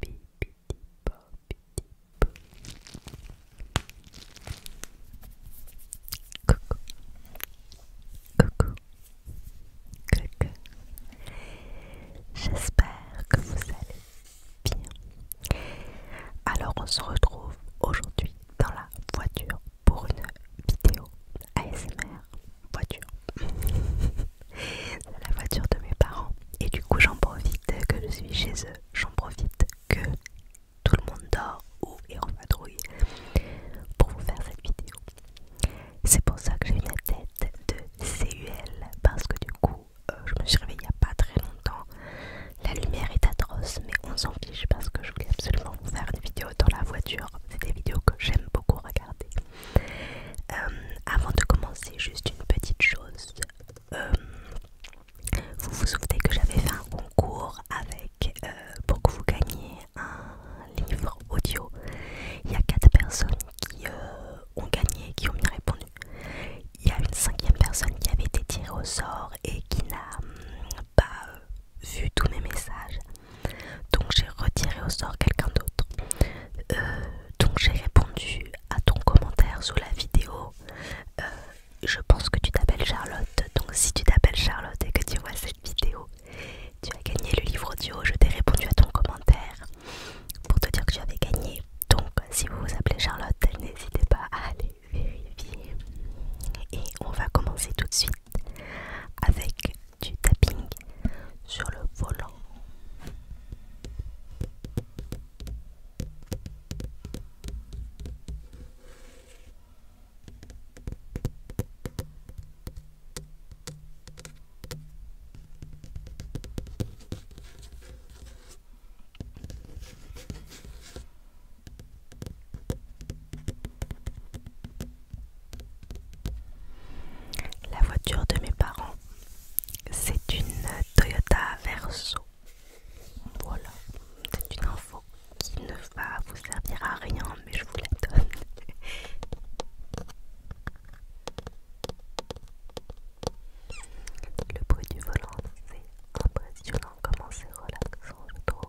Coucou. Coucou. Coucou. J'espère que vous allez bien. Alors on se retrouve aujourd'hui dans la voiture pour une vidéo ASMR voiture la voiture de mes parents. Et du coup, j'en profite que je suis chez eux. J'en profite que tout le monde dort ou est en vadrouille pour vous faire cette vidéo. C'est pour ça que j'ai une la tête de CUL parce que du coup, euh, je me suis réveillée il n'y a pas très longtemps. La lumière est atroce, mais on s'en fiche parce que je voulais absolument vous faire une vidéo dans la voiture. C'est des vidéos que j'aime beaucoup regarder. Euh, avant de commencer, juste une petite chose. Euh, vous vous souvenez que j'avais fait un concours avec euh, pour que vous gagniez un livre audio. Il y a quatre personnes qui ont gagné, qui ont bien répondu. Il y a une cinquième personne qui avait été tirée au sort et qui n'a hum, pas vu tous mes messages. Donc j'ai retiré au sort quelqu'un d'autre. donc j'ai répondu à ton commentaire sous la vidéo. Euh, je pense que tu t'appelles Charlotte, donc si tu t'appelles Charlotte et que tu vois cette vidéo, tu as gagné le livre audio. Je t'ai répondu à ton commentaire pour te dire que tu avais gagné. Donc, si vous vous appelez Charlotte, n'hésitez pas à aller vérifier. Et on va commencer tout de suite avec du tapping sur le volant. La voiture de mes parents c'est une Toyota Verso. Voilà, c'est une info qui ne va vous servir à rien, mais je vous la donne. Le bruit du volant, c'est impressionnant comment c'est relaxant, je trouve.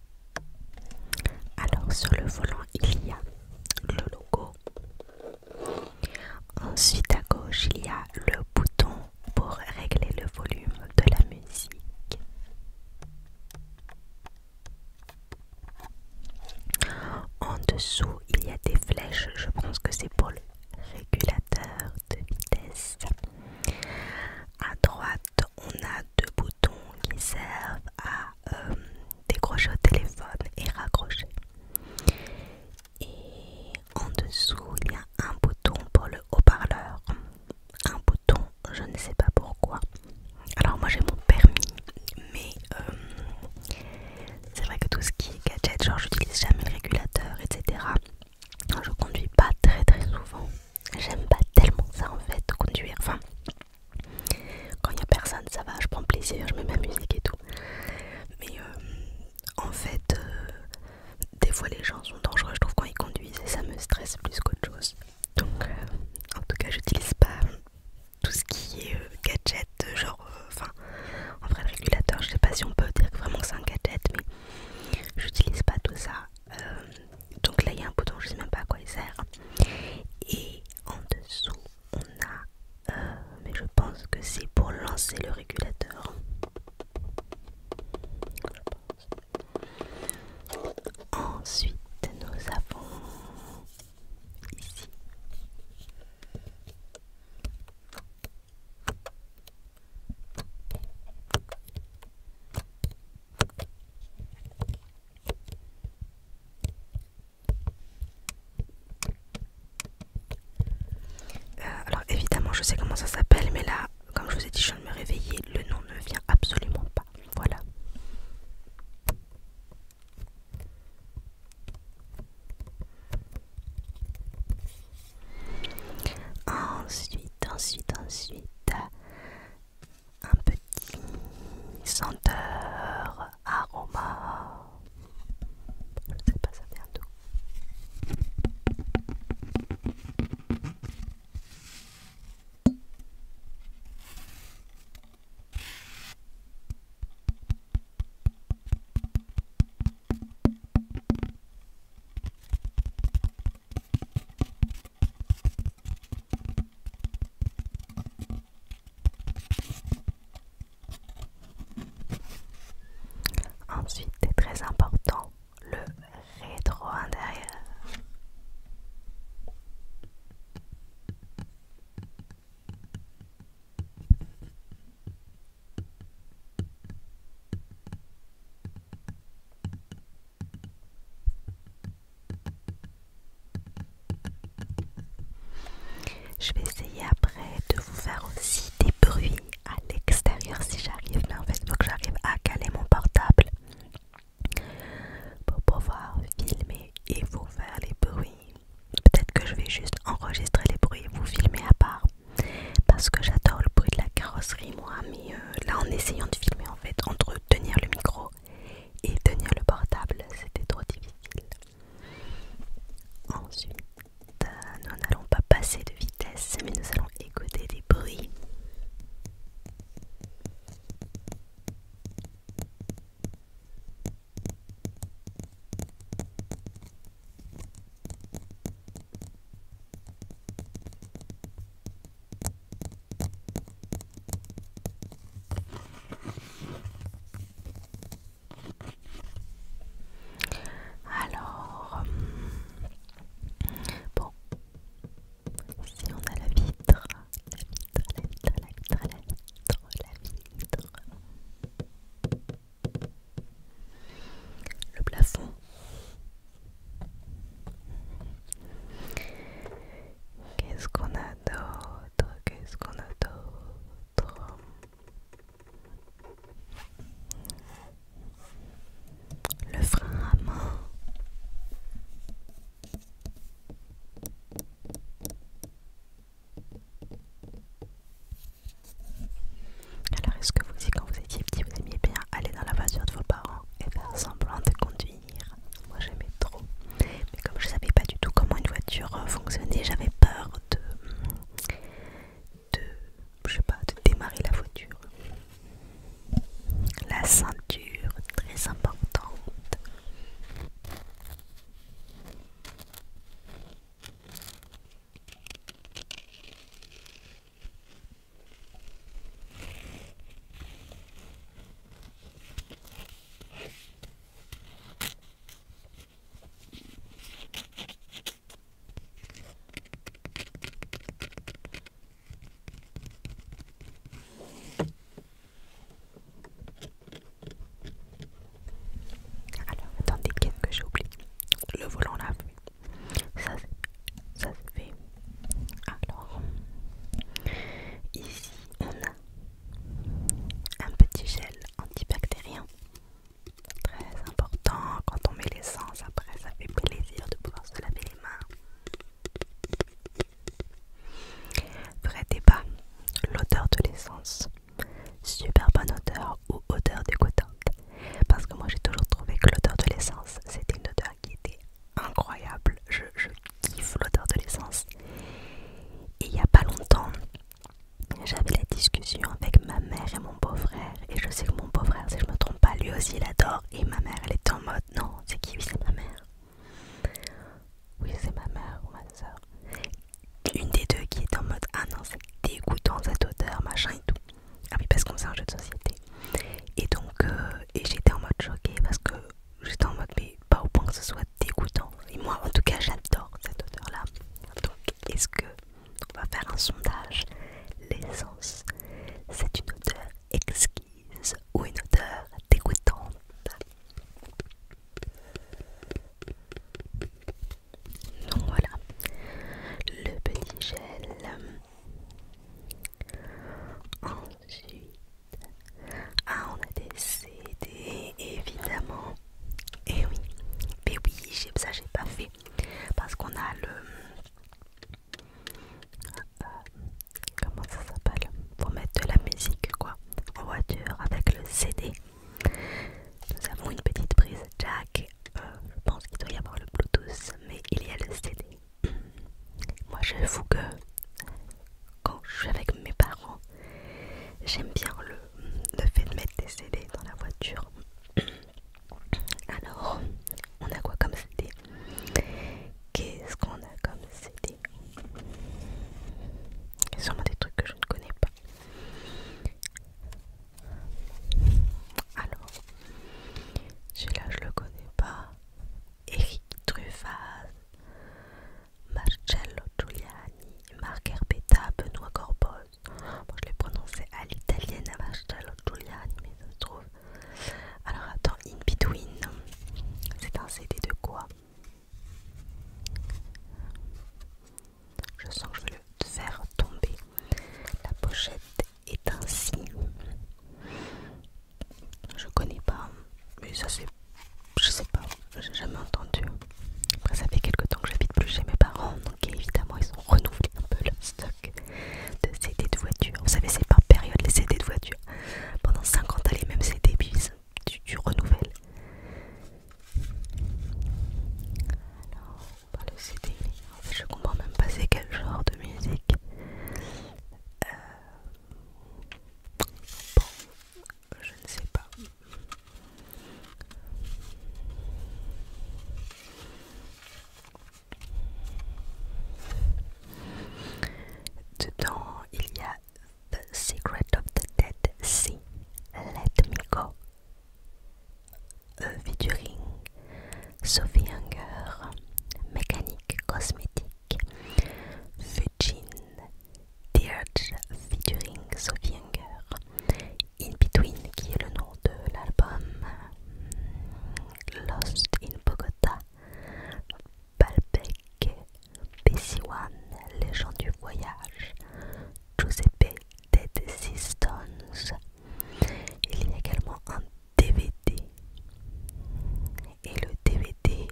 Alors sur le volant il y a le logo. Ensuite à gauche il y a le bouton pour régler le volume de la musique. En dessous il y a des flèches, je pense que c'est pour le régulateur de vitesse. À droite on a deux boutons qui servent à euh, décrocher au téléphone et raccrocher. Et en dessous, il y a un bouton pour le haut-parleur. Un bouton, je ne sais pas pourquoi. Alors moi j'ai mon permis, mais euh, c'est vrai que tout ce qui est gadget, genre j'utilise jamais le régulateur, etc. Je conduis pas très très souvent j'aime pas tellement ça en fait, conduire. Enfin, quand il n'y a personne, ça va, je prends plaisir, je mets ma musique et tout. Mais euh, en fait, euh, des fois les gens sont dangereux, je trouve, quand ils conduisent et ça me stresse plus qu'autre chose. Donc, euh, en tout cas, j'utilise pas tout ce qui est gadget, genre, enfin, en vrai, le régulateur, je sais pas si on peut dire que vraiment c'est un gadget, mais j'utilise pas tout ça. Euh, donc là il y a un bouton, je sais même pas à quoi il sert. Et en dessous on a, euh, mais je pense que c'est pour lancer le régulateur. Ensuite nous avons ici. Euh, alors évidemment je sais comment ça s'appelle mais là comme je vous ai dit je viens de me réveiller le nom ne vient absolument pas voilà ensuite ensuite ensuite un petit senteur, aroma. Je ne sais pas, ça vient d'où. Ensuite, c'est très important, le rétro intérieur. Je vais essayer après de vous faire aussi des bruits à l'extérieur si j'arrive, mais en fait il faut que j'arrive à caler mon portable pour pouvoir filmer et vous faire les bruits. Peut-être que je vais juste enregistrer les bruits et vous filmer à part parce que j'adore le bruit de la carrosserie moi, et euh, là en essayant de filmer en fait entre tenir le micro et tenir le portable c'était trop difficile ensuite euh, nous n'allons pas passer de vitesse mais nous allons écouter des bruits alors, euh, bon, si on a la vitre, la vitre, la vitre, la vitre, la vitre, la vitre, le plafond, Qu'est-ce qu'on a d'autre Qu'est-ce qu'on a d'autre Le frein à main. Alors, est-ce que vous, quand vous étiez petit, vous aimiez bien aller dans la voiture de vos parents et faire semblant de conduire moi j'aimais trop. Mais comme je savais pas du tout comment une voiture euh, fonctionnait, j'avais peur de, de... Je sais pas, de démarrer la voiture. La ceinture, très importante. Alors, attendez, qu'est-ce que j'ai oublié Le volant lave ça, ça se fait alors ici on a un petit gel antibactérien très important quand on met l'essence après ça fait plaisir de pouvoir se laver les mains vrai débat l'odeur de l'essence super bonne odeur ou odeur dégoûtante parce que moi j'ai toujours trouvé que l'odeur de l'essence c'était une odeur qui était incroyable. Je, kiffe l'odeur de l'essence. Et il n'y a pas longtemps, j'avais la discussion avec ma mère et mon beau-frère. Et je sais que mon beau-frère, si je me trompe pas, lui aussi il adore. Et ma mère, elle est en mode non, c'est qui Oui, c'est ma mère. Oui, c'est ma mère ou ma soeur. Une des deux qui est en mode ah non, c'est dégoûtant cette odeur, machin et tout. Ah oui, parce qu'on sait un jeu de société. Et donc, euh, et j'étais en mode choquée parce que j'étais en mode, mais pas au point que ce soit dégoûtant. Et moi, en tout cas, j'adore cette odeur-là. Donc, est-ce que on va faire un sondage L'essence, c'est une odeur exquise ou une odeur dégoûtante donc voilà, le petit gel Ensuite, ah, on a des CD évidemment. Et eh oui, mais oui, ça j'ai pas fait parce qu'on a le. Euh, comment ça s'appelle Pour mettre de la musique quoi en voiture avec le CD. Nous avons une petite prise jack. Euh, je pense qu'il doit y avoir le Bluetooth, mais il y a le CD. Moi, j'avoue que quand je suis avec mes parents, j'aime bien le, fait de mettre des CD dans la voiture. Alors, on a quoi comme CD Qu'est-ce qu'on a comme CD Il y sûrement des trucs que je ne connais pas. Alors, celui-là, je le connais pas. Eric Truffaz, Marcello Giuliani, Marc Herbetta, Benoît Corboz. je l'ai prononcé à l'italienne à Marcello Giuliani, mais ça se trouve. Alors attends, In Between, c'est un CD de quoi Je sens que je vais le faire tomber. La pochette et ainsi. Je connais pas, mais ça c'est. Je sais pas, j'ai jamais entendu. ça fait quelques temps que j'habite plus chez mes parents, donc évidemment, ils ont renouvelé un peu le stock de CD de voiture. Vous savez, c'est par période les CD de voiture. Pendant 50 ans, même mêmes CD, tu, renouvelles. Alors, le CD, je comprends même pas c'est quel genre de musique. Euh, bon, je ne sais pas. Dedans, il y a The Secret of the Dead Sea, Let Me Go, a Ring Sophie Hunger, Mécanique Cosmétique, Fujin, Dirge featuring Sophie Hunger, In Between qui est le nom de l'album, Lost in Bogota, Balbec, pc One Les du voyage, Giuseppe Dead Stones Il y a également un DVD. Et le DVD,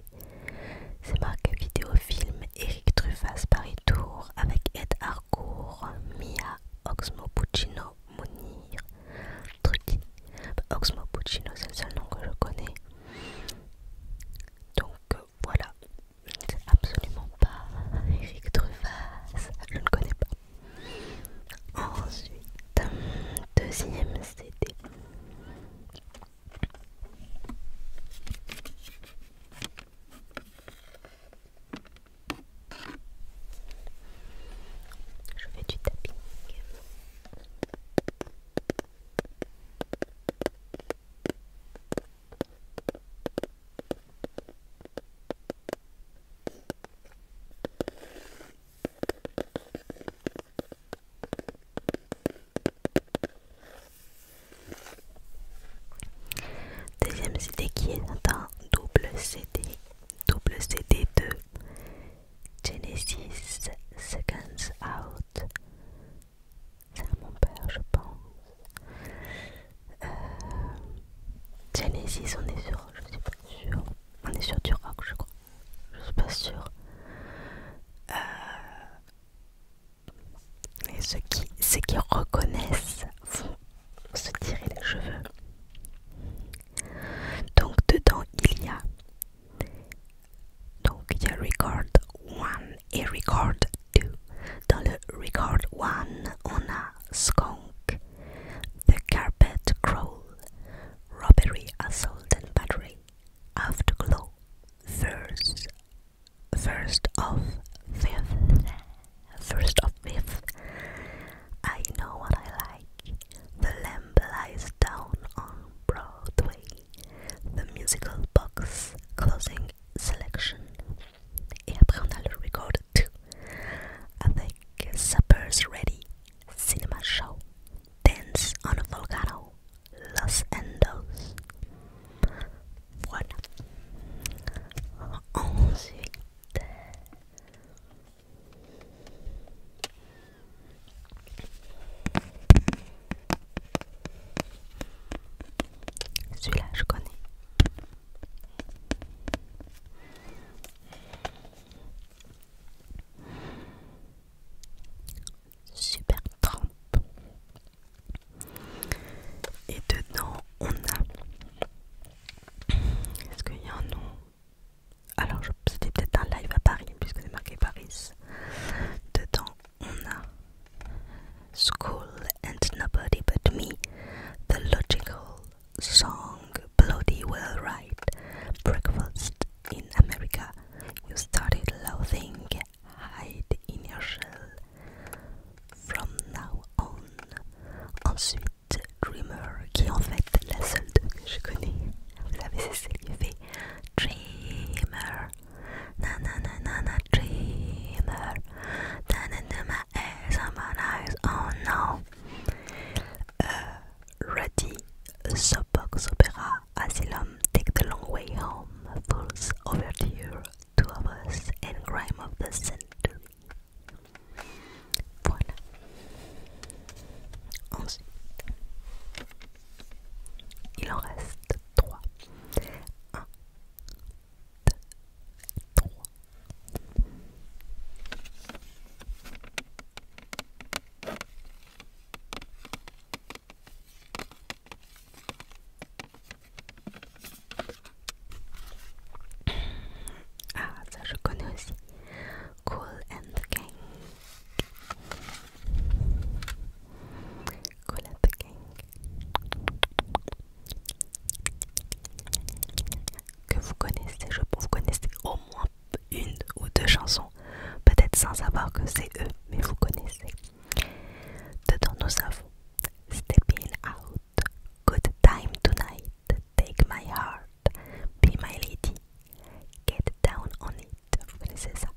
c'est marqué film Eric Truffaz Paris Tour avec Ed Harcourt, Mia, Oxmo Puccino, Munir, Trucci Oxmo Puccino, c'est le seul nom que je connais. Donc euh, voilà, c'est absolument pas Eric Truffaz, je ne connais pas. Ensuite, deuxième CD. Je fais du tapis. Deuxième CD qui est un double CD, double CD de Genesis Seconds Out. C'est mon père, je pense. Euh, Genesis, on est sûr, je suis pas sûre. On est sur du rock, je crois. Je suis pas sûr. Euh, et ceux qui, ceux qui reconnaissent vont se tirer les cheveux. Donc dedans il y a donc il y a record 1 et record 2. Dans le record 1 on a skunk, The Carpet Crawl, Robbery, Assault and Battery, Afterglow, First, first of Fifth, First of Fifth, I Know What I Like, The Lamb Lies Down on Broadway, The Musical Box, Closing Selection. Et après two. I think supper's ready. Cinema show. Dance on a volcano. Los andos. Voilà. Ensuite. Celui-là, je connais. Super Trump Et dedans, on a. Est-ce qu'il y a un nom Alors, c'était peut-être un live à Paris, puisque c'est marqué Paris. Dedans, on a. School and Nobody But Me, The Logical song bloody well right breakfast in America you started loathing hide in your shell from now on ensuite Dreamer qui en fait la seule deux que je connais c'est celle qui fait Dreamer nanana na, na, na, Dreamer down into my eyes on my eyes oh no Euh, ready, Ruddy, soapbox opera Asylum, Take the Long Way Home, Fool's Overture, Two of Us, and Crime of the Century. Voilà. Ensuite, il en reste trois. Ah, ça je connais aussi. Cool and the Gang. Cool and the Gang que vous connaissez, je pense vous connaissez au moins une ou deux chansons, peut-être sans savoir que c'est eux, mais vous connaissez. Dedans, nous avons in, Out, Good Time Tonight, Take My Heart, Be My Lady, Get Down on It, vous connaissez ça?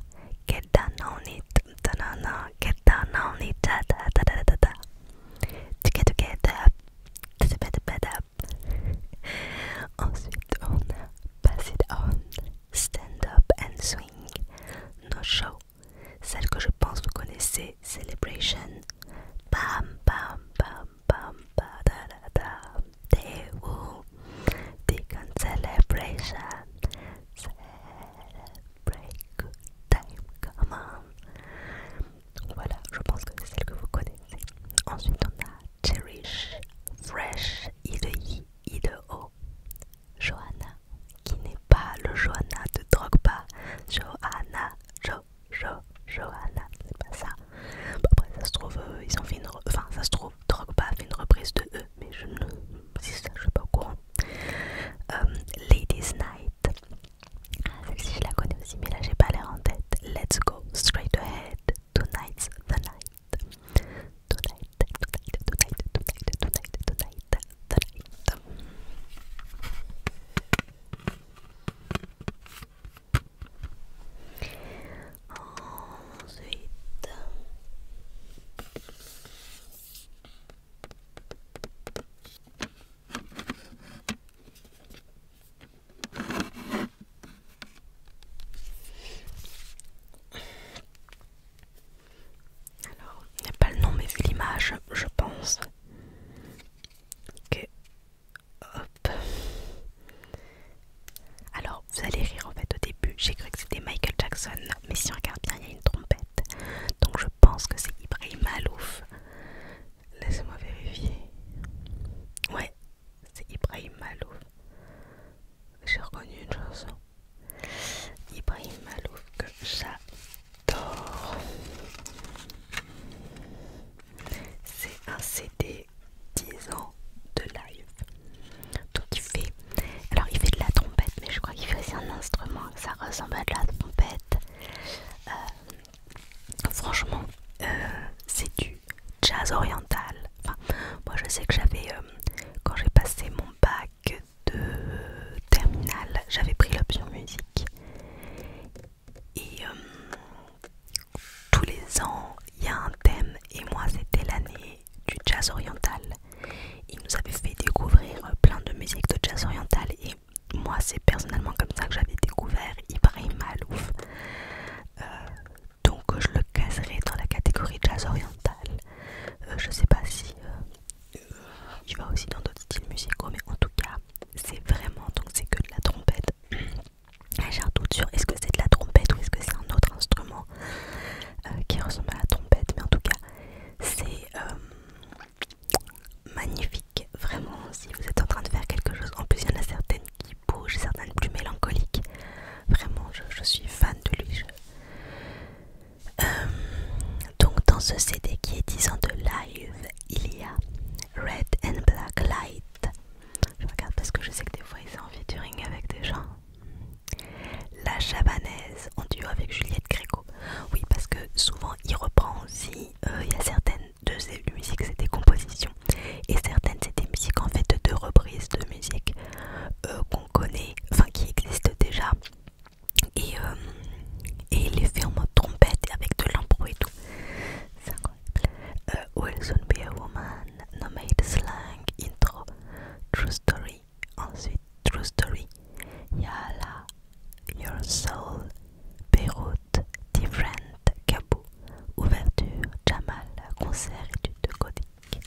Get Down on It, da, na, na, Get Down on It, da, da, da, da, Together, together, Ensuite, on a Pass It On, Stand Up and Swing, No Show. Celle que je pense vous connaissez, Celebration. Bam, bam, bam, bam, ba, da, da, da. Day Woo, Celebration. Celebrate time, come on. Voilà, je pense que c'est celle que vous connaissez. Ensuite, on a Cherish, Fresh, I de I, I de O. Johanna, qui n'est pas le Johanna de Drogba. Johanna, Jo, Jo, Johanna, c'est pas ça. Après, ça se trouve, euh, ils ont fait une. Enfin, ça se trouve, fait une reprise de eux, mais je ne. je suis pas au courant. Euh, Ladies Night, ah, Celle-ci, je la connais aussi, mais là, j'ai pas l'air en tête. Let's go straight ahead. Tonight's the night. Tonight, tonight, tonight, tonight, tonight, tonight, tonight. Ensuite. Alors, il n'y a pas le nom, mais vu l'image, je pense que. Hop. Alors, vous allez rire en fait au début. J'ai cru que c'était Michael Jackson, mais si on regarde bien, il y a une trompette. Donc, je pense que c'est Ibrahim Alouf. Laissez-moi vérifier. Ouais, c'est Ibrahim Malouf. J'ai reconnu une chanson. Ibrahim Malouf que j'adore. C'est un CD 10 ans de live. Donc il fait. Alors il fait de la trompette, mais je crois qu'il fait aussi un instrument. Ça ressemble à de la trompette. Euh, Franchement, euh, c'est du jazz oriental. moi je sais que j'avais, euh, quand j'ai passé mon bac de terminale, j'avais pris l'option musique. Et euh, tous les ans, il y a un thème, et moi c'était l'année du jazz oriental. Il nous avait fait découvrir plein de musiques de jazz oriental, et moi c'est personnellement comme ça que j'avais découvert Ibrahim Malouf. Euh, donc je le caserai dans la catégorie jazz oriental. Euh, je sais pas si euh, tu il va aussi dans d'autres styles musicaux, mais en tout cas c'est vraiment donc c'est que de la trompette. Ah, j'ai un doute sur est-ce que c'est de la trompette ou est-ce que c'est un autre instrument qui ressemble à la trompette, mais en tout cas c'est magnifique, vraiment. Si vous êtes en train de faire quelque chose, en plus il y en a certaines qui bougent, certaines plus mélancoliques. Vraiment, je, suis fan de lui. Euh, donc dans ce CD qui est 10 ans de live, il y a Red and Black Light. Je regarde parce que je sais que des fois ils sont en featuring avec des gens. La Chabanaise en duo avec Juliette Gréco. Oui, parce que souvent il reprend aussi. Euh, il y a certaines deux ces musiques, c'est des compositions. Et certaines, c'est des musiques en fait de reprises de musique euh, qu'on connaît, enfin qui existent déjà. Et, euh, et il les fait en mode trompette avec de l'impro et tout. C'est incroyable. Euh, Will soon be woman, nomade slang, intro, true story. Ensuite, true story. Yala, Your Soul, Beyrouth, Different, Cabo, Ouverture, Jamal, Concert, Étude Codique.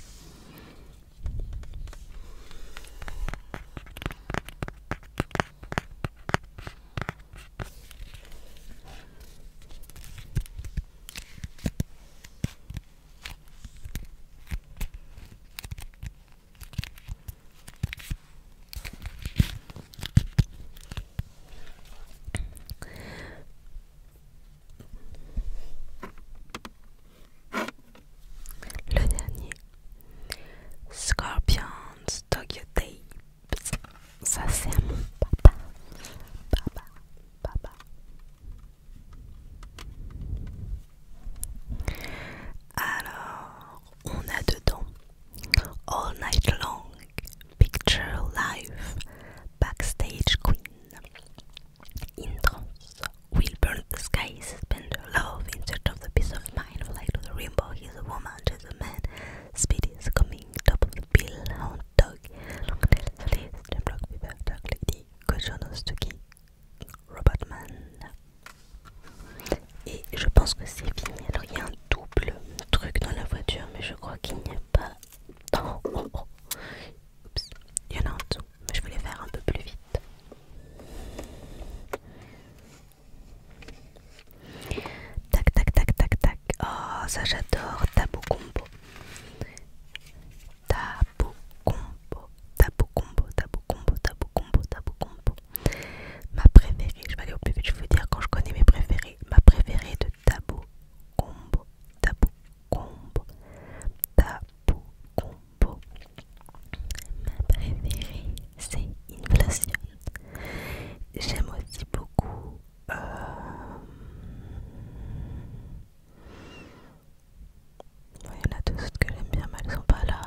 Le dernier, Scorpions Tokyo Day Ça c'est mon papa. Papa, papa. Alors, All night long, picture life, backstage queen. Intense, will burn the sky, suspend her love in search of the peace of mind, fly to the rainbow, he's a woman, she's a man, speed is coming, top Bill of the bill, hound dog, long tail, solid, the block, beaver, dark lady, Kojonosuki, robot man. Et je pense que c'est fini. Alors il y a un double truc dans la voiture, mais je crois qu'il n'y a pas. Oh, Oups. Il y en a en dessous, mais je voulais faire un peu plus vite. Tac, tac, tac, tac, tac. Oh, ça j'adore. Tabou combo. Tabou combo. Tabou combo, tabou combo, tabou combo, tabou combo. Ma préférée, je vais aller au plus vite, je vais vous dire quand je connais mes préférées. Ma préférée de Tabo Combo, Tabo Combo, Tabo Combo. Ma préférée, c'est Inflation. J'aime aussi beaucoup. Euh, Il y en a deux autres que j'aime bien, mais elles sont pas là.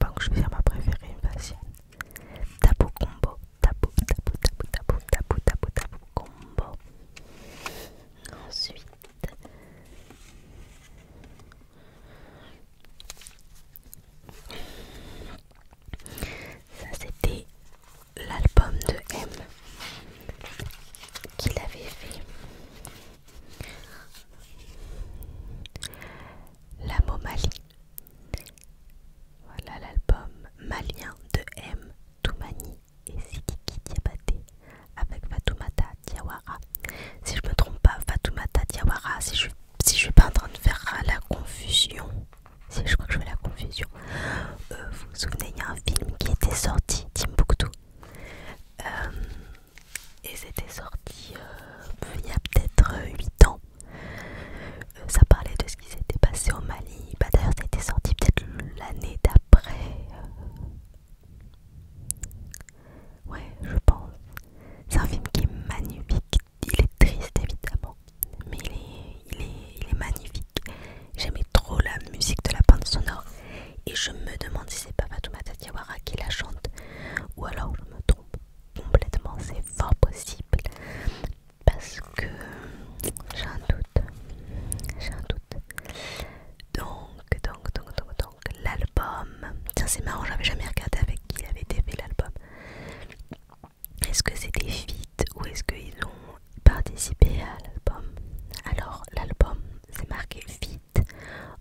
Bon, je vais faire ma préférée, une y Tabou combo, tabou, tabou, tabou, tabou, tabou, tabou, tabou combo. Ensuite. Ça c'était l'album de M qu'il avait fait. La Momalie. Voilà l'album malien de M, Toumani et Sikiki Diabate avec Fatoumata Diawara. Si je me trompe pas, Fatoumata Diawara, si je si je suis pas en train de faire la confusion, si je crois que je fais la confusion, euh, vous vous souvenez, il y a un film qui était sorti, Timbuktu, euh, et c'était sorti euh, il y a peut-être 8 ans. ça parlait de ce qui s'était passé au Mali. Bah, D'ailleurs, ça a été sorti peut-être l'année d'après. Ouais, je pense. C'est un film qui est magnifique, il est triste évidemment, mais il est, il est, magnifique. J'aimais trop la musique de la bande sonore et je me demande si c'est pas Fatoumata Yawara qui la chante ou alors je me trompe complètement, c'est fort possible parce que j'ai un doute, j'ai un doute. Donc, donc, donc, donc, donc l'album, tiens c'est marrant, j'avais jamais regardé avec qui avait fait l'album. Est-ce que c'était des ou est-ce qu'ils ont participé à l'album Alors l'album c'est marqué feat,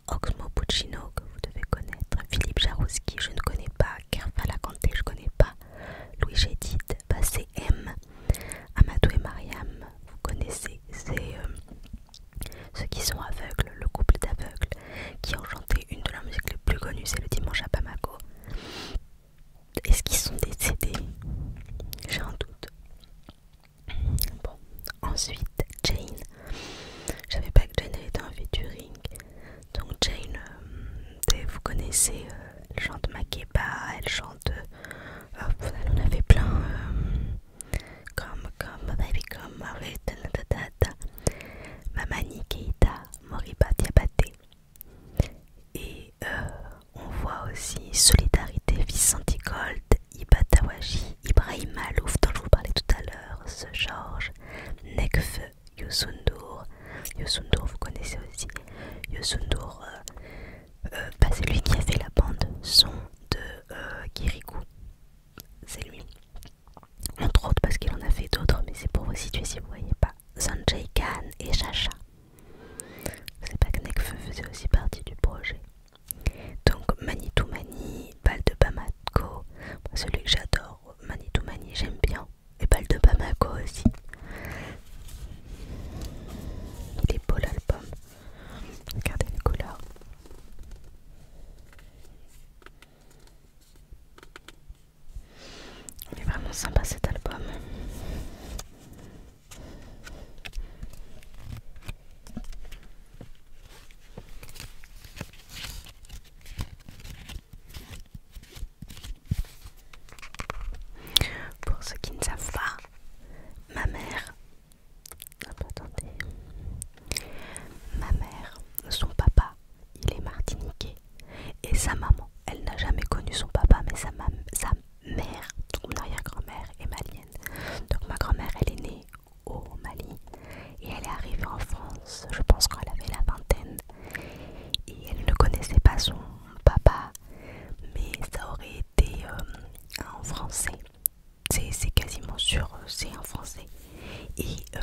Oxmo Puccino que vous devez connaître, Philippe Jarouski je ne connais pas, Kerfa Lacanté je connais pas, Louis bah c'est M, Amadou et Mariam, vous connaissez, c'est euh, ceux qui sont aveugles, le couple d'aveugles qui ont chanté une de leurs musiques les plus connues, c'est le dimanche à Bamako. Est-ce qu'ils sont décédés J'ai un doute. Bon, ensuite Jane. J'avais pas que Jane avait été en featuring. Donc Jane, euh, vous connaissez, euh, elle chante Makeba, elle chante. Euh, on avait plein. comme, comme, baby, comme, Mamani Keita Diabate Et euh, on voit aussi Solidarité Vicentigold, Ibatawaji, Ibrahim Alouf, dont je vous parlais tout à l'heure, ce George Nekfe, Yosundur. Yosundur, vous connaissez aussi. Yosundur, euh, euh, bah, c'est lui qui a fait la bande son de euh, C'est lui entre autres parce qu'il en a fait d'autres, mais c'est pour vous situer si vous voyez pas. Sanjay Khan et Shacha c'est pas que Nekfeu faisait aussi partie du projet. Donc Manitou Mani, Bal de Bamako, celui que j'adore, Manitou Mani, j'aime bien, et Bal de Bamako aussi. Il est beau l'album. Regardez les couleurs. Il est vraiment sympa cet album. Pour ceux qui ne savent pas, ma mère, ma mère, son papa il est martiniquais. Et sa maman, elle n'a jamais connu son papa, mais sa, mère, mon arrière-grand-mère, est malienne. Donc ma grand-mère, elle est née au Mali. Et elle est arrivée en France, je pense, qu'elle avait la vingtaine. Et elle ne connaissait pas son papa, mais ça aurait été en euh, français. C'est quasiment sûr, euh, c'est en français. Et euh,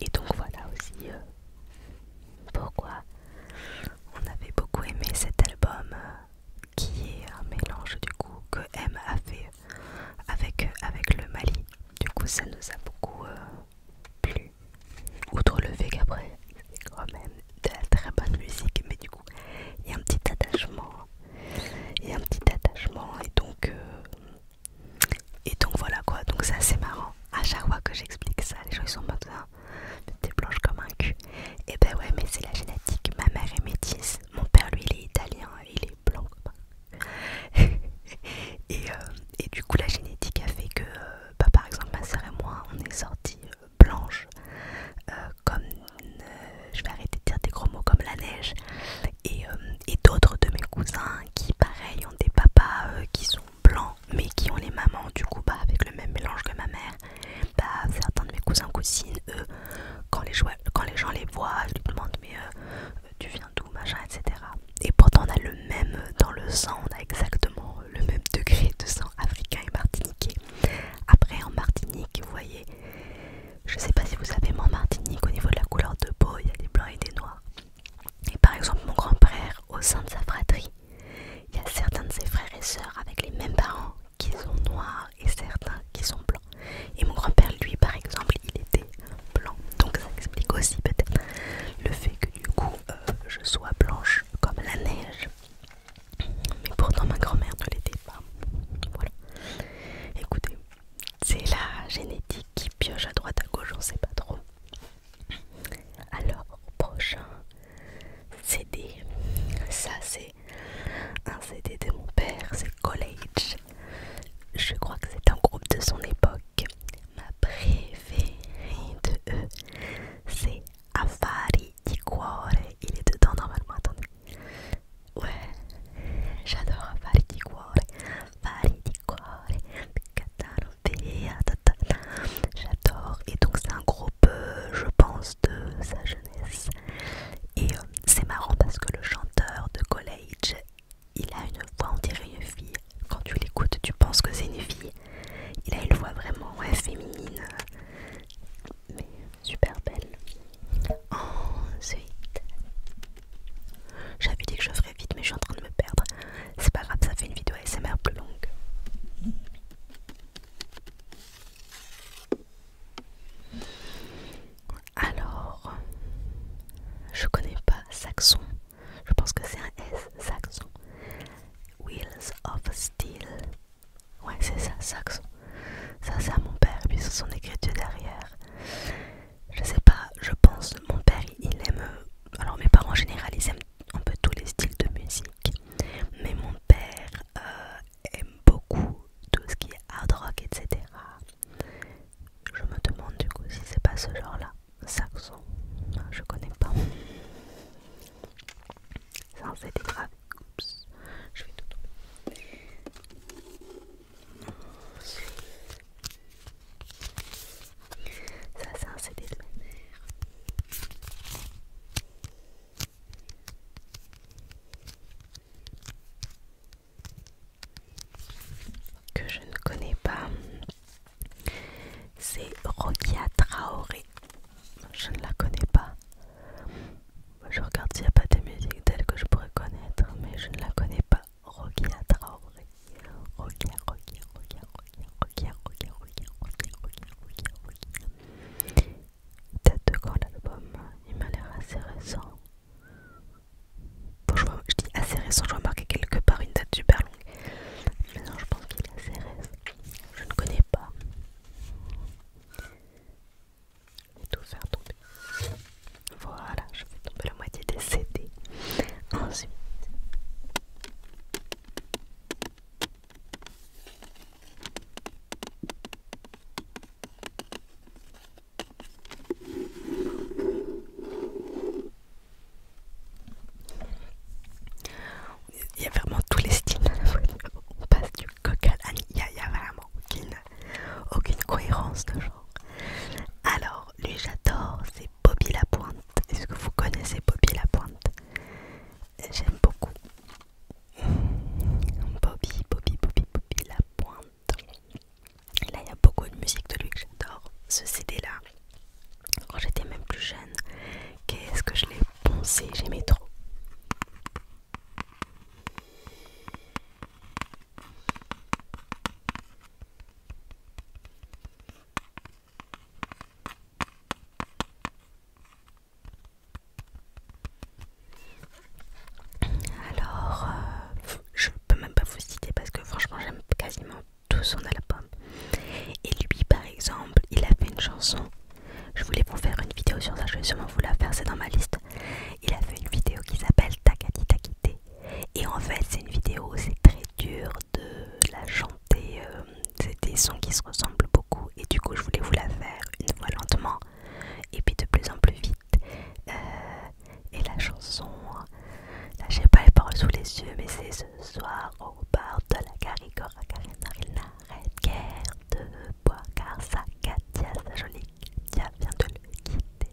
et donc voilà aussi euh, pourquoi on avait beaucoup aimé cet album euh, qui est un mélange du coup que M a fait avec, euh, avec le Mali. Du coup ça nous a beaucoup plu. Outre le fait qu'après c'est quand même de la très bonne musique mais du coup il y a un petit attachement. Il y a un petit attachement et donc... Et donc voilà quoi, donc ça c'est marrant. À chaque fois que j'explique ça, les gens ils sont en mode hein, t'es blanche comme un cul. Et ben ouais, mais c'est la génétique. Ma mère est métisse, mon père lui il est italien, il est blanc. et, euh, et du coup, la génétique a fait que, euh, bah, par exemple, ma soeur et moi on est sortis euh, blanches, comme je vais arrêter de dire des gros mots comme la neige. Et, et d'autres de mes cousins qui pareil ont des papas euh, qui sont blancs mais qui ont les mamans du coup bah, avec le même mélange que ma mère bah certains de mes cousins cousines eux quand les, quand les gens les voient ils demandent mais euh, tu viens d'où machin etc et pourtant on a le même euh, dans le sang on a exactement le même degré de sang africain et martiniquais après en Martinique vous voyez je sais pas si vous savez, mon Martinique, au niveau de la couleur de peau, il y a des blancs et des noirs. Et par exemple, mon grand-père, au sein de sa fratrie, il y a certains de ses frères et sœurs avec les mêmes parents qui sont noirs et certains qui sont blancs. Et mon grand-père, lui, par exemple, il était blanc. Donc ça explique aussi peut-être le fait que du coup, euh, je sois blanche comme la neige. Mais pourtant, ma grand-mère ne l'était pas. Voilà. Écoutez, c'est la génétique qui pioche à droite à gauche, on sait pas trop. Alors, prochain CD, ça c'est un CD de mon père, c'est College. Je crois que c'est un groupe de son époque. Ma préférée de eux, c'est Afari di Cuore. Il est dedans normalement, attendez. Ouais, j'adore fare di cuore, fare di cuore, j'adore. Et donc c'est un groupe, euh, je pense, de sa jeunesse. Et euh, c'est marrant parce que le chanteur de college, il a une voix, on dirait une fille. Quand tu l'écoutes, tu penses que c'est une fille. Il a une voix vraiment féminine, mais super belle. Ensuite, j'avais dit que je ferais vite, mais je suis en train de me perdre. C'est pas grave, ça fait une vidéo ASMR plus longue. Alors, je connais pas Saxon. Je pense que c'est un S, Saxon. Wheels of Steel. Ouais, c'est ça, Saxon. Ça, c'est à mon père, et puis c'est son écriture derrière je sais pas, je pense, mon père il aime, alors mes parents en général ils aiment un peu tous les styles de musique, mais mon père euh, aime beaucoup tout ce qui est hard rock, etc. Je me demande du coup si c'est pas ce genre-là, saxon, ah, je connais pas. Ça c'était grave, oups, je vais tout ça, c'est un CD Que je ne connais pas, c'est Rokia Traoré. Je ne la connais pas je regarde s'il n'y a pas de musique d'elle que je pourrais connaître, mais je ne la connais pas. Rokia Traoré. Rokia, Rokia, Rocky, Rokia, Rokia, Rokia, Date de quand album Il m'a l'air assez récent. Bon, je, je dis assez récent, je vois marquer quelque part une date super longue. Mais non, je pense qu'il est assez récent. Je ne connais pas et tout faire tomber. Voilà, je fais tomber la moitié des CD. Ensuite, il y a vraiment tous les styles On passe du coq à Il y, a vraiment aucune aucune cohérence de genre. Alors, lui j'adore, c'est Bobby Lapointe. Est-ce que vous connaissez Bobby Lapointe J'aime beaucoup. Bobby, Bobby, Bobby, Bobby Lapointe. là, il y a beaucoup de musique de lui que j'adore. Ce CD-là, quand j'étais même plus jeune, qu'est-ce que je l'ai poncé J'aimais trop. Alors, euh, je peux même pas vous citer parce que franchement, j'aime quasiment tout son album. Et lui, par exemple, il a fait une chanson. Je voulais vous faire une vidéo sur ça, je vais sûrement vous la faire, c'est dans ma liste il a fait une vidéo qui s'appelle Takati Takité. Et en fait, c'est une vidéo, c'est très dur de la chanter. Euh, c'est des sons qui se ressemblent beaucoup. Et du coup, je voulais vous la faire une fois lentement et puis de plus en plus vite. Euh, et la chanson, là, j'ai pas les paroles sous les yeux, mais c'est ce soir au bar de la Caricora Carina. Il n'arrête guère de boire car sa sa jolie Katia vient de le quitter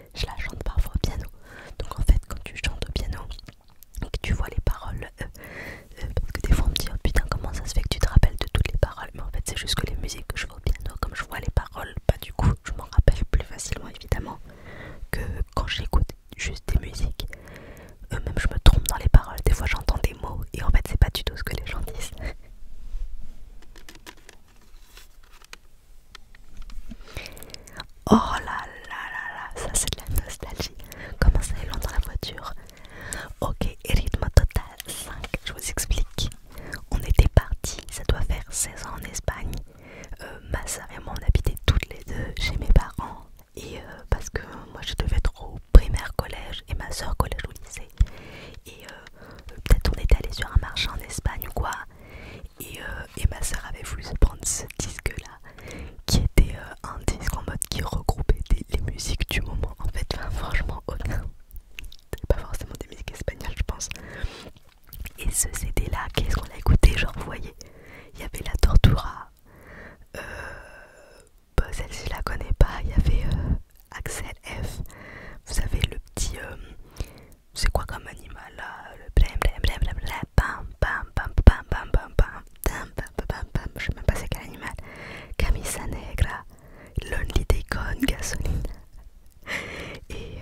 je la chante parfois au piano. Donc en fait, quand tu chantes au piano et que tu vois les paroles, euh, euh, parce que des fois on me dit oh putain, comment ça se fait que tu te rappelles de toutes les paroles Mais en fait, c'est juste que les musiques que je vois au piano, comme je vois les paroles, bah du coup, je m'en rappelle plus facilement évidemment que quand j'écoute juste des musiques. même je me trompe dans les paroles, des fois j'entends des mots et en fait, c'est pas du tout ce que les gens disent. Oh là là là là, ça c'est de la nostalgie. Comment ça est long dans la voiture Ok, rythme total 5, je vous explique. On était partis, ça doit faire 16 ans en Espagne. Euh, ma soeur et moi on habitait toutes les deux chez mes parents. Et euh, parce que moi je devais être au primaire collège et ma soeur collège au lycée. Et euh, peut-être on était allé sur un marché en Espagne ou quoi. Euh, et, ma soeur avait voulu se prendre ce disque-là, qui était euh, un disque en mode qui regroupait des, les musiques du moment. En fait, enfin, franchement, aucun. pas forcément des musiques espagnoles, je pense. Et ce CD-là, qu'est-ce qu'on a écouté Genre, vous voyez, il y avait la Tortura. Euh, bah, celle-ci, la connaît pas. Il y avait Axel F. Vous savez, le petit. C'est quoi comme animal là Le blem blem blem blem blem pam pam pam pam pam pam pam bam Je sais même pas c'est quel animal. Camisa negra, lonely déconne, gasoline. Et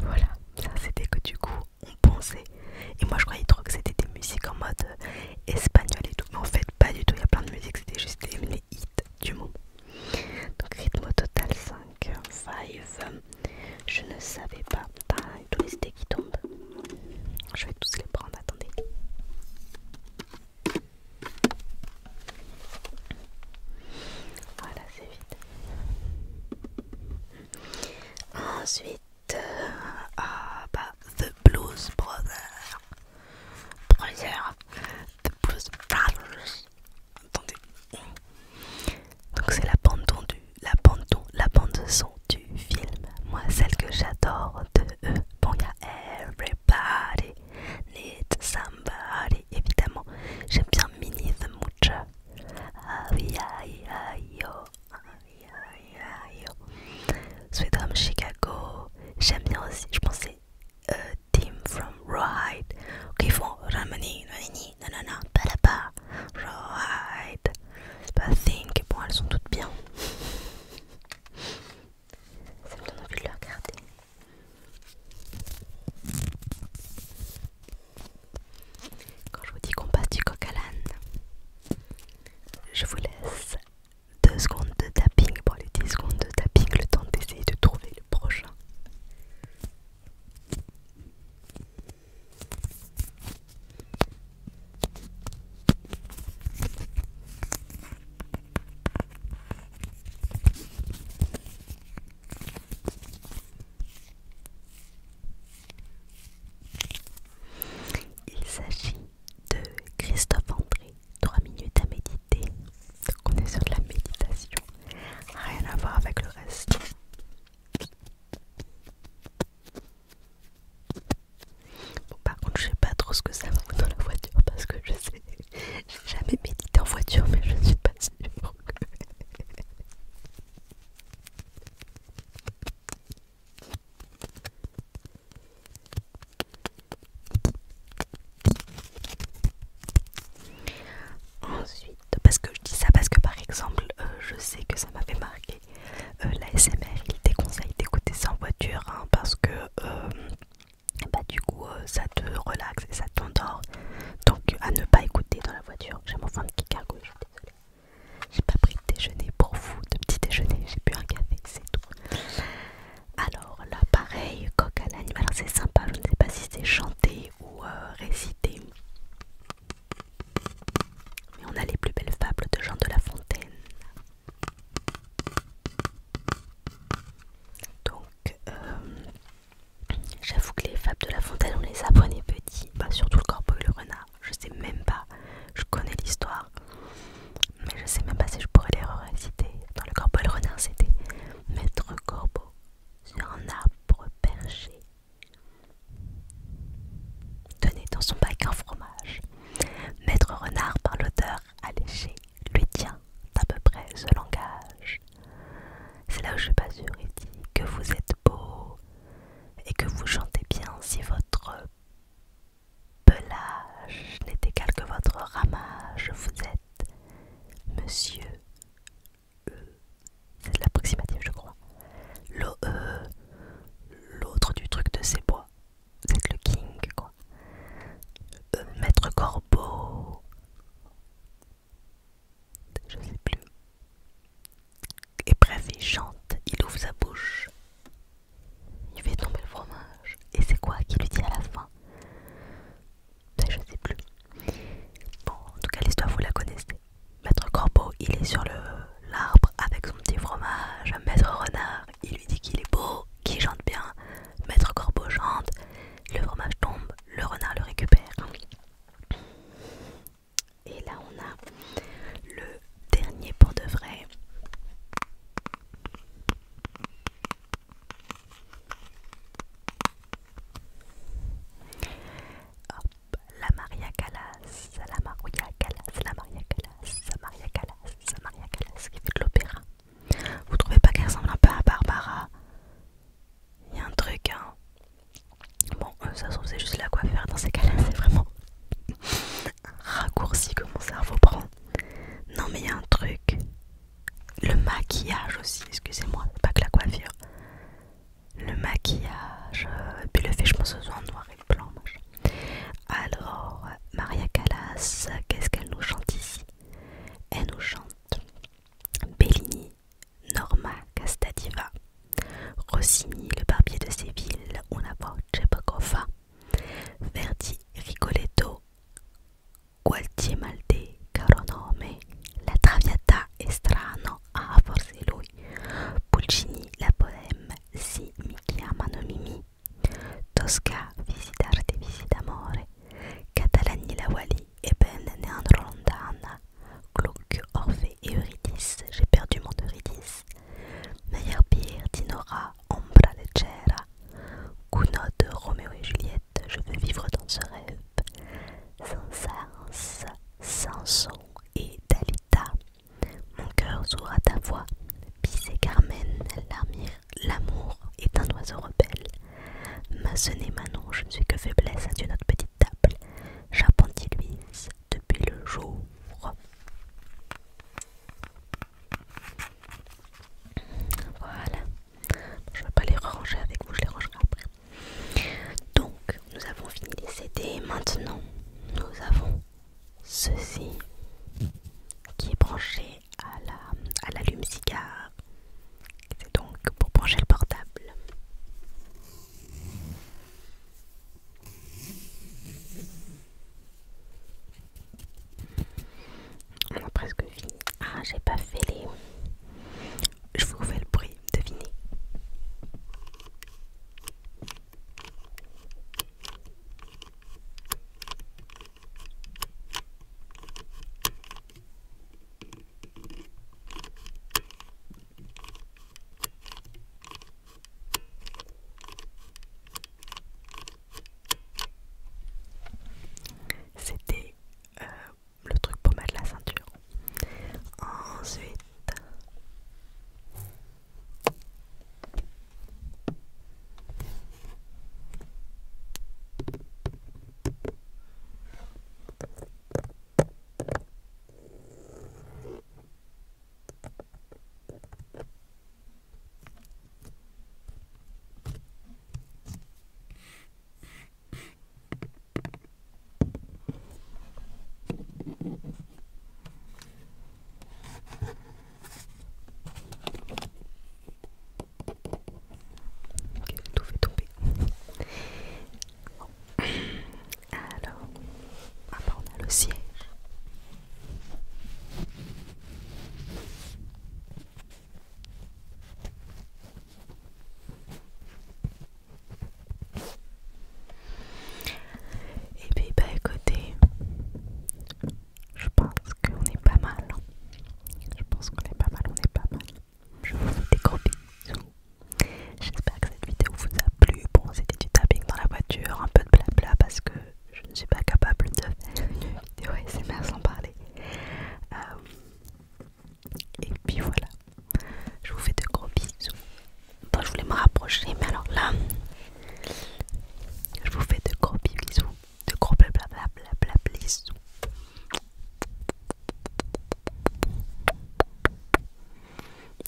voilà, ça c'était que du coup on pensait. Et moi je croyais trop que c'était des musiques en mode espagnol et tout. Mais en fait pas du tout, il y a plein de musiques, c'était juste les, hits du moment. Donc rythme total 5, 5. Je ne savais pas. tous les idées qui tombent. Je vais tous les prendre, attendez. Voilà, c'est vite Ensuite, euh, ah bah, The Blues Brothers. Brothers, The Blues Brothers. Attendez. Donc c'est la bande la son du film. Moi, celle que j'adore de eux. Bon, il y a Everybody Need Somebody, évidemment. J'aime bien Mini the Moocher. Aïe aïe Sweet Home Chicago. J'aime bien aussi, je pensais. Tim euh, team from Ride qui font Ramani, non, non, non, pas là-bas. Right. pas bah, think. Bon, elles sont toutes bien. Ça me donne de le regarder. Quand je vous dis qu'on passe du coq à l'âne, je vous laisse 2 secondes de tapping. pour les 10 secondes de tapping, le temps d'essayer de trouver le prochain. Il s'agit de Christophe André, 3 minutes à méditer. on est sur de la méditation, rien à voir avec le reste. Bon, par contre, je sais pas trop ce que ça vaut dans la voiture parce que je sais, j'ai jamais médité en voiture, mais je suis pas sûre que. Ensuite, parce que je dis ça parce que par exemple euh, je sais que ça m'a marqué marquer euh, la SMR il déconseille d'écouter ça en voiture hein, parce que euh, bah, du coup ça te relaxe et ça t'endort donc à ne pas écouter dans la voiture j'ai mon fin de kikargo je suis désolée j'ai pas pris de déjeuner pour vous de petit déjeuner j'ai bu un café c'est tout alors là pareil coq à l'animal c'est sympa je ne sais pas si c'est chanté ou euh, réciter. Mais on a les plus belles fables de Jean de La Fontaine. Donc, euh, j'avoue que les fables de La Fontaine, on les apprenait petits, pas bah, surtout le corbeau et le renard. Je sais même pas, je connais l'histoire, mais je sais même pas si je pourrais les réciter. Dans le corbeau et le renard, c'était Maître Corbeau sur un arbre perché Tenez dans son bac un fromage. Maître Renard, par l'odeur allégée lui tient à peu près ce langage. C'est là où je suis pas sûre, il dit que vous êtes beau et que vous chantez bien si votre pelage n'est égal que votre ramage. Vous êtes, monsieur, c'est de l'approximatif je crois. Euh, l'autre du truc de ses bois, c'est le king quoi. Euh, maître Corbeau, je sais plus. Et bref, il chante, il ouvre sa bouche, il fait tomber le fromage. Et c'est quoi qui lui dit à la fin ben, je ne sais plus. Bon, en tout cas, l'histoire, vous la connaissez. Maître Corbeau, il est sur l'arbre avec son petit fromage. Maître Renard, il lui dit qu'il est beau, qu'il chante bien. Maître Corbeau chante, le fromage tombe, le renard le récupère. Et là, on a le dernier pour de vrai la Maria Callas, la Maria Callas, la Maria Callas, la Maria Callas, la Maria Callas qui fait de l'opéra. Vous trouvez pas qu'elle ressemble un peu à Barbara Il y a un truc, hein. Bon, euh, ça se c'est juste la coiffure dans ces cas-là, c'est vraiment un raccourci que mon cerveau prend. Non, mais il y a un truc. Le maquillage aussi, excusez-moi, pas que la coiffure le maquillage, puis le fait, je pense, en noir et blanc. Alors, Maria Callas, qu'est-ce qu'elle nous chante ici Elle nous chante Bellini, Norma Castadiva, Rossini, le barbier de Séville, a voce Verdi, Rigoletto, Gualtier Malte Caronome la traviata est strano, ah forse lui, Pulcini la poème, si mi chiamano Mimi, Tosca visitar des visita amore, Catalani la Wally, Ebene ne andrò lontana, Gluck, Orphée et Eurydice, j'ai perdu mon Eurydice, Meyerbeer, Dinora, Ombra leggera, Gounod, Roméo et Juliette, je veux vivre dans ce rêve sans sens, sans son et Dalita. Mon cœur sourd à ta voix, Pis et Carmen, l'amour est un oiseau rebelle. ma Manon, je ne suis que faiblesse à notre petite table. Charpentier Louise, depuis le jour. Voilà. Je ne vais pas les ranger avec vous, je les rangerai après. Donc, nous avons fini les CD. Maintenant, nous avons ceci qui est branché à la, à l'allume-cigare. C'est donc pour brancher le portable. On a presque fini. Ah, j'ai pas fait les je vous fais le bruit, devinez. C'était euh, le truc pour mettre la ceinture. Ensuite, Ok, tout fait tomber. Alors, après on a le siège. Et puis bah écoutez, je pense qu'on est pas mal. Hein. Je pense qu'on est pas mal, on est pas mal. Je vous fais des J'espère que cette vidéo vous a plu. Bon, c'était du tapping dans la voiture, un peu de blabla parce que je ne suis pas capable de faire une vidéo bien sans parler. Euh, et puis voilà. Je vous fais de gros bisous. bon je voulais me rapprocher, mais alors là, je vous fais de gros bisous. De gros blablabla bla bisous.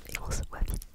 Et on se voit vite.